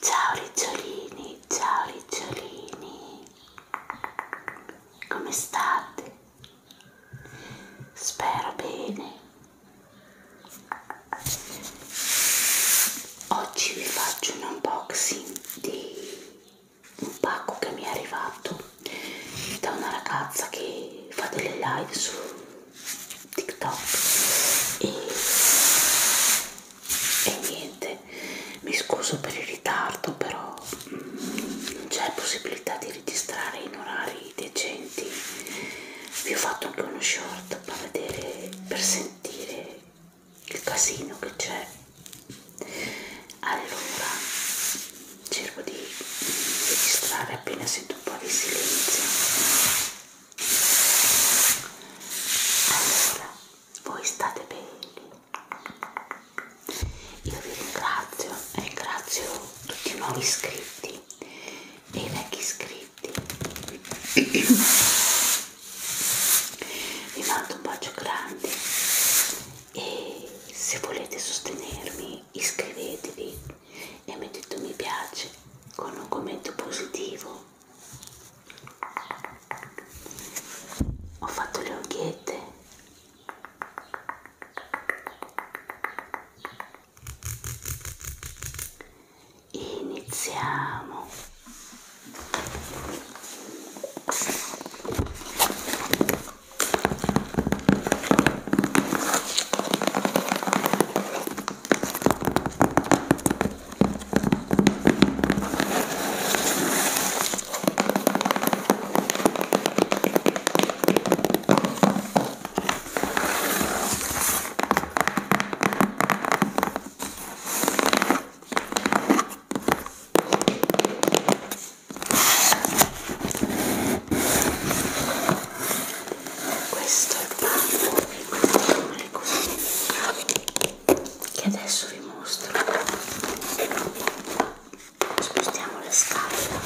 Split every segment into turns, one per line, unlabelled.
Ciao ricciolini, ciao ricciolini, come state? Spero bene oggi vi faccio un unboxing di un pacco che mi è arrivato da una ragazza che fa delle live su TikTok e, e niente, mi scuso per il ritardo però mm, non c'è possibilità di registrare in orari decenti vi ho fatto anche uno short per vedere per sentire il casino che c'è allora cerco di registrare appena sento un po' di silenzio allora voi state bene io vi ringrazio ringrazio tutti i nuovi iscritti e i vecchi iscritti vi mando un bacio grande e se volete sostenermi iscrivetevi e mettete un mi piace con un commento positivo ho fatto le occhiette iniziamo questo è il panno e questo è il così che adesso vi mostro spostiamo le scatole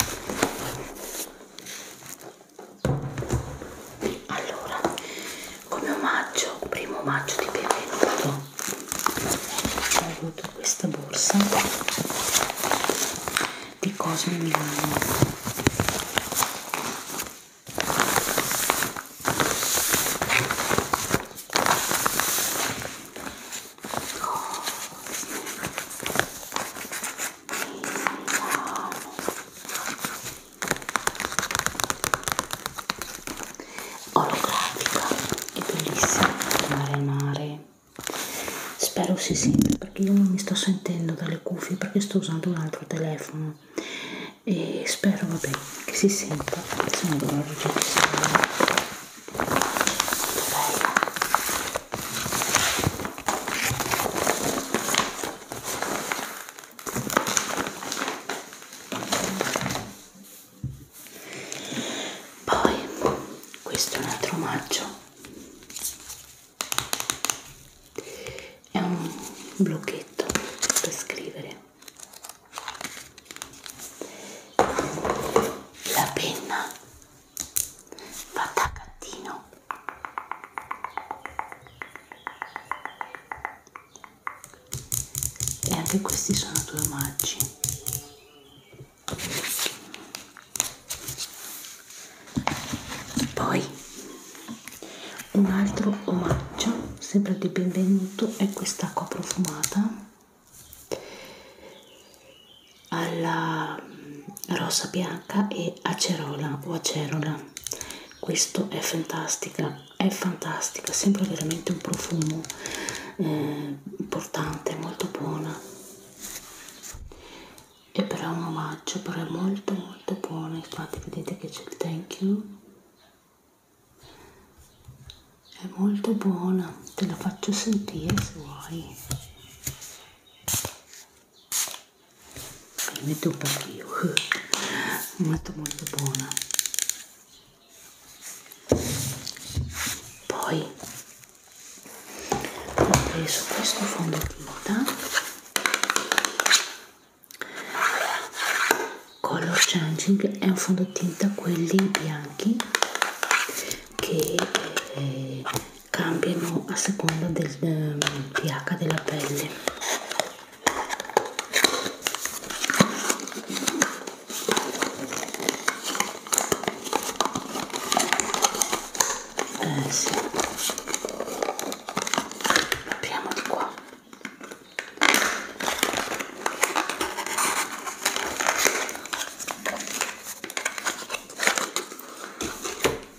allora come omaggio, primo omaggio di benvenuto ho avuto questa borsa di Cosme Milano Cosme Milano olografica è bellissima andare al mare spero si sente perché io non mi sto sentendo dalle cuffie perché sto usando un altro telefono e spero vabbè che si senta se no dovrò registrare poi questo è un altro omaggio. È un blocchetto per scrivere. La penna va da gattino e anche questi sono due omaggi poi un altro omaggio sempre di benvenuto è quest'acqua profumata alla rosa bianca e acerola o acerola questo è fantastica è fantastica sembra veramente un profumo eh, importante molto buona e però è un omaggio però è molto molto buona infatti vedete che c'è il thank you è molto buona te la faccio sentire se vuoi metto un pochino molto molto buona poi ho preso questo fondotinta color changing è un fondotinta quelli bianchi che eh, cambiano a seconda del eh, pH della pelle eh, sì. Apriamo di qua.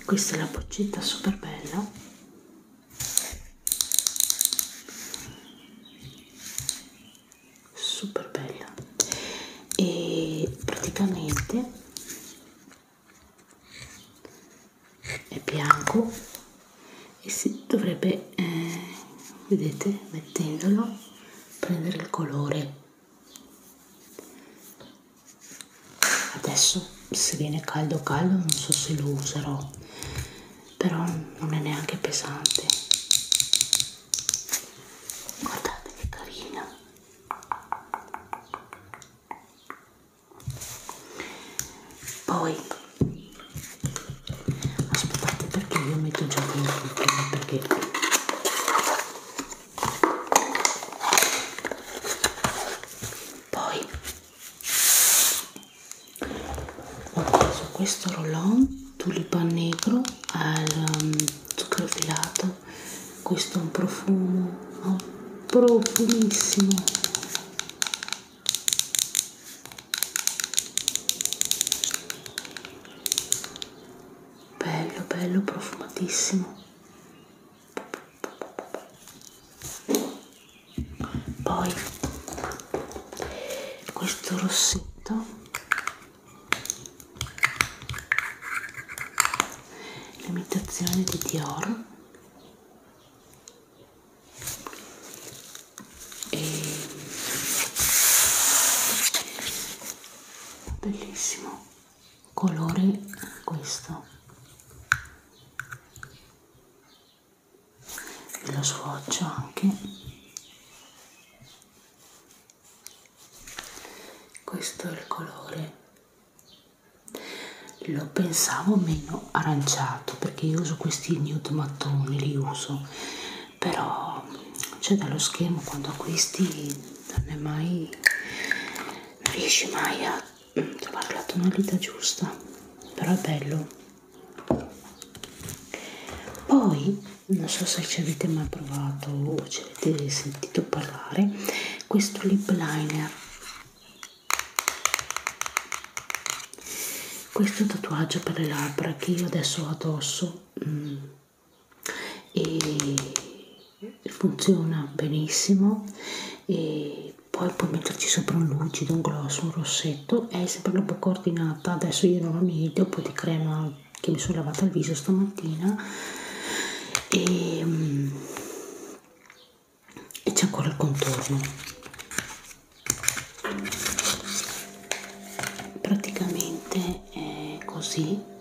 Questa è la boccetta super bella super bella e praticamente è bianco e si dovrebbe eh, vedete mettendolo prendere il colore adesso se viene caldo caldo non so se lo userò però non è neanche pesante guardate che carina poi aspettate perché io metto già dentro prima perché poi su questo rollon tulipan negro al um, zucchero filato questo è un profumo oh, profumissimo bello bello profumatissimo poi questo rossetto l'imitazione di Dior e bellissimo colore questo e lo sfoccio anche questo è il colore lo pensavo meno aranciato perché io uso questi nude mattoni li uso però cioè dallo schermo quando acquisti non è mai non riesci mai a trovare la tonalità giusta però è bello poi non so se ci avete mai provato o ci avete sentito parlare questo lip liner questo tatuaggio per le labbra che io adesso ho addosso mm, e funziona benissimo e poi puoi metterci sopra un lucido, un gloss, un rossetto è sempre la bocca ordinata adesso io non ho niente, un po' di crema che mi sono lavata il viso stamattina e, mm, e c'è ancora il contorno praticamente è così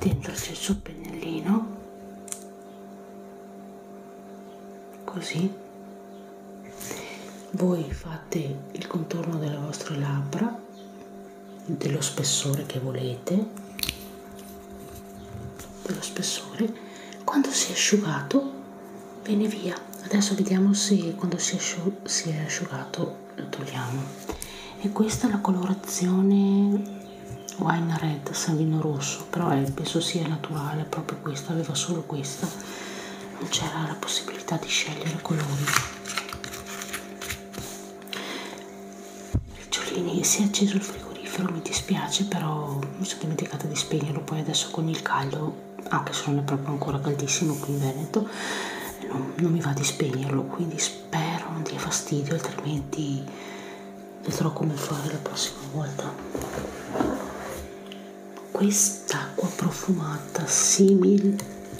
dentro c'è il suo pennellino così voi fate il contorno delle vostre labbra dello spessore che volete dello spessore quando si è asciugato bene via adesso vediamo se quando si è, asciugato lo togliamo e questa è la colorazione wine red sanguino rosso però è, eh, penso sia naturale proprio questa aveva solo questa non c'era la possibilità di scegliere colori ricciolini si è acceso il frigorifero mi dispiace però mi sono dimenticata di spegnerlo poi adesso con il caldo anche se non è proprio ancora caldissimo qui in Veneto non, non mi va di spegnerlo quindi spero non dia fastidio altrimenti vedrò come fare la prossima volta quest'acqua profumata simil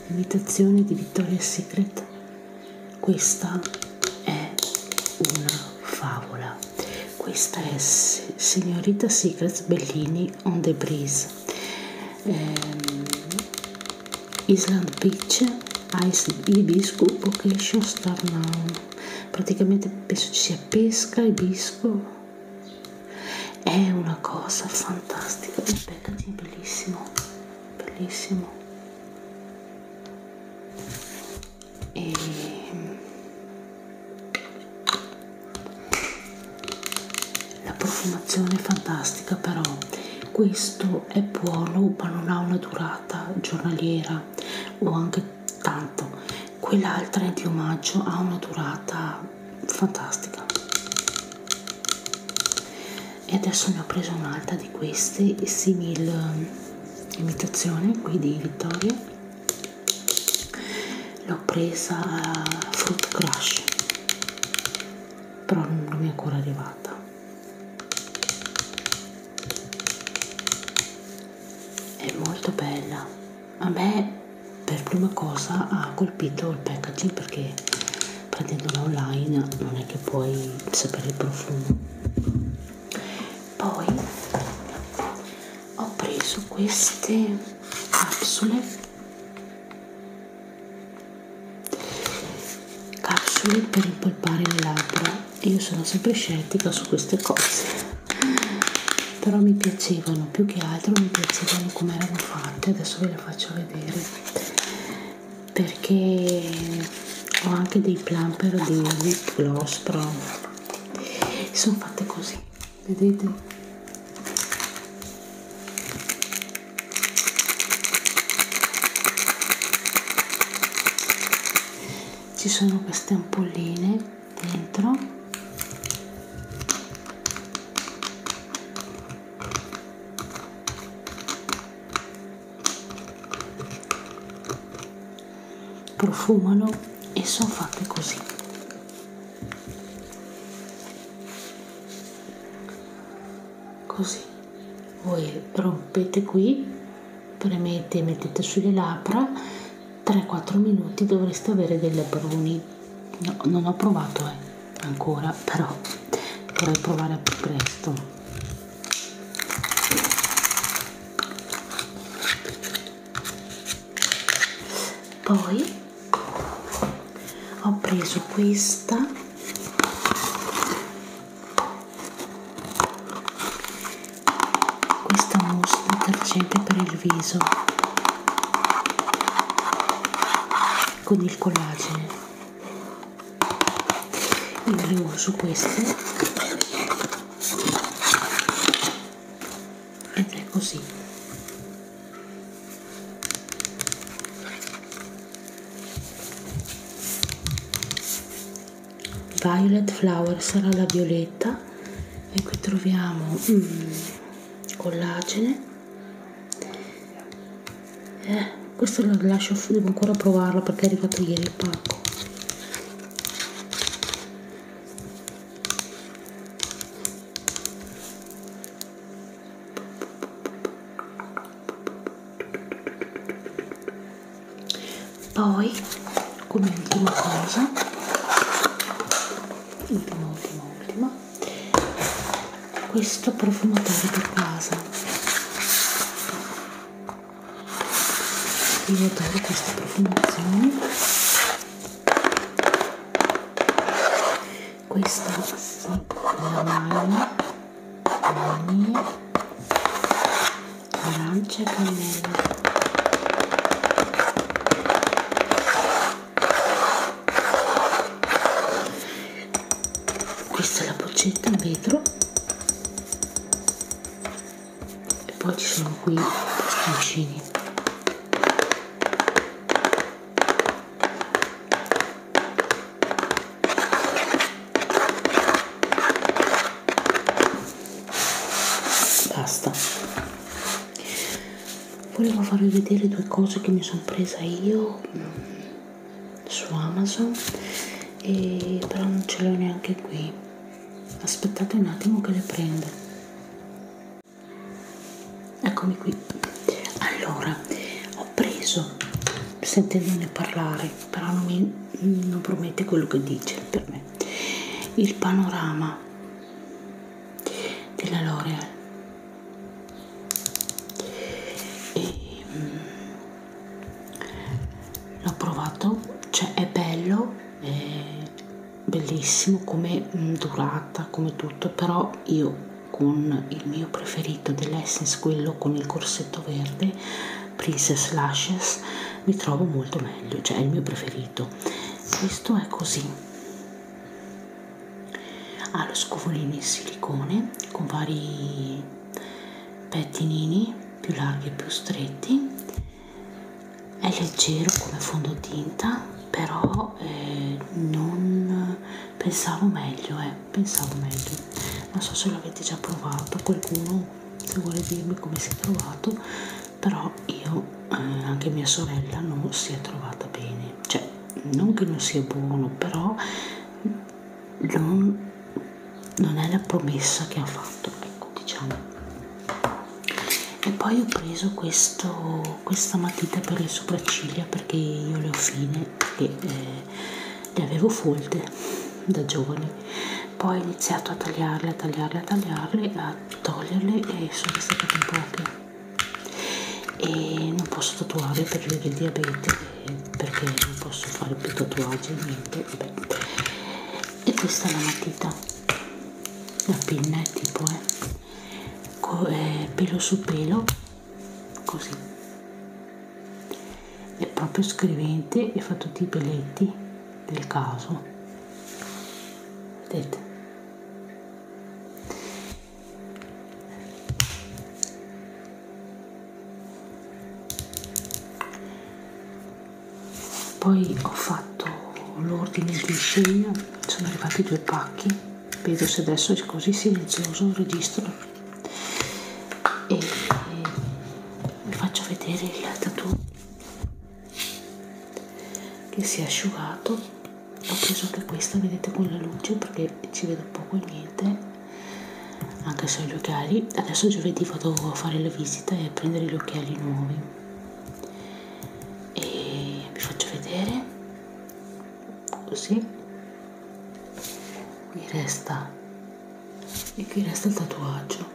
imitazione di Victoria's Secret questa è una favola questa è signorita Secrets Bellini on the breeze ehm, Island Beach Ice Ibisco Vocation Star Now praticamente penso ci sia pesca ibisco è una cosa fantastica il packaging è bellissimo bellissimo e ehm, la profumazione è fantastica però, questo è buono ma non ha una durata giornaliera o anche tanto, quell'altra è di omaggio, ha una durata fantastica. E adesso ne ho preso un'altra di queste, simil eh, imitazione qui di Vittoria l'ho presa a eh, Fruit Crush però non mi è ancora arrivata è molto bella a me per prima cosa ha colpito il packaging perché prendendola online non è che puoi sapere il profumo poi ho preso queste capsule Capsule per impolpare le labbra. Io sono sempre scettica su queste cose. Però mi piacevano, più che altro mi piacevano come erano fatte. Adesso ve le faccio vedere. Perché ho anche dei plumper di lip gloss, però sono fatte così vedete ci sono queste ampolline dentro profumano e sono fatte così così voi rompete qui premete mettete sulle labbra 3-4 minuti dovreste avere dei lebroni no, non ho provato eh, ancora però dovrei provare più presto poi ho preso questa questa mousse detergente per il viso con il collagene io le uso queste ed eh, è così violet flower sarà la violetta e qui troviamo mm, collagene eh, questo lo lascio devo ancora provarlo perché è arrivato ieri il pacco poi come ultima cosa ultima ultima ultima questo profumatore per casa io adoro queste profumazioni questa sì, la mano vaniglia arancia e cannella questa è la boccetta in vetro e poi ci sono qui i bastoncini basta volevo farvi vedere due cose che mi sono presa io mh, mm, su amazon e, però non ce l'ho neanche qui aspettate un attimo che le prendo eccomi qui allora ho preso sentendone parlare però non, mi, non promette quello che dice per me il panorama della L'Oreal e mm, l'ho provato cioè è bello è bellissimo come mm, durata, come tutto, però io con il mio preferito dell'Essence, quello con il corsetto verde, Princess Lashes, mi trovo molto meglio, cioè è il mio preferito. Questo è così. Ha lo scovolino in silicone con vari pettinini più larghi e più stretti è leggero come fondotinta però eh, non pensavo meglio eh, pensavo meglio non so se l'avete già provato qualcuno se vuole dirmi come si è trovato però io eh, anche mia sorella non si è trovata bene cioè non che non sia buono però non, non è la promessa che ha fatto ecco diciamo e poi ho preso questo, questa matita per le sopracciglia perché io le ho fine e eh, le avevo folte da giovane poi ho iniziato a tagliarle a tagliarle a tagliarle a toglierle e sono state in poche e non posso tatuare per via del diabete perché non posso fare più tatuaggi niente vabbè. e questa è la matita la pinna è tipo eh eh, pelo su pelo così è proprio scrivente e fa tutti i peletti del caso vedete poi ho fatto l'ordine di scena sono arrivati due pacchi vedo se adesso è così silenzioso registro e vi faccio vedere il tattoo che si è asciugato ho preso anche questa vedete con la luce perché ci vedo poco e niente anche se ho gli occhiali adesso giovedì vado a fare la visita e a prendere gli occhiali nuovi e vi faccio vedere così qui resta e qui resta il tatuaggio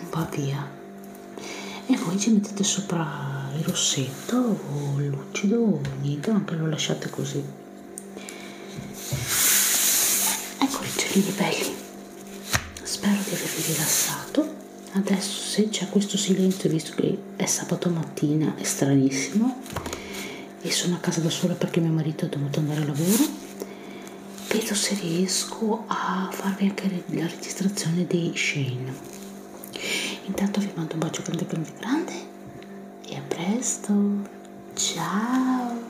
un po' via e voi ci mettete sopra il rossetto o lucido o niente anche lo lasciate così ecco i uccellini belli spero di avervi rilassato adesso se c'è questo silenzio visto che è sabato mattina è stranissimo e sono a casa da sola perché mio marito è dovuto andare a lavoro vedo se riesco a farvi anche la registrazione di Shane intanto vi mando un bacio grande grande grande e a presto ciao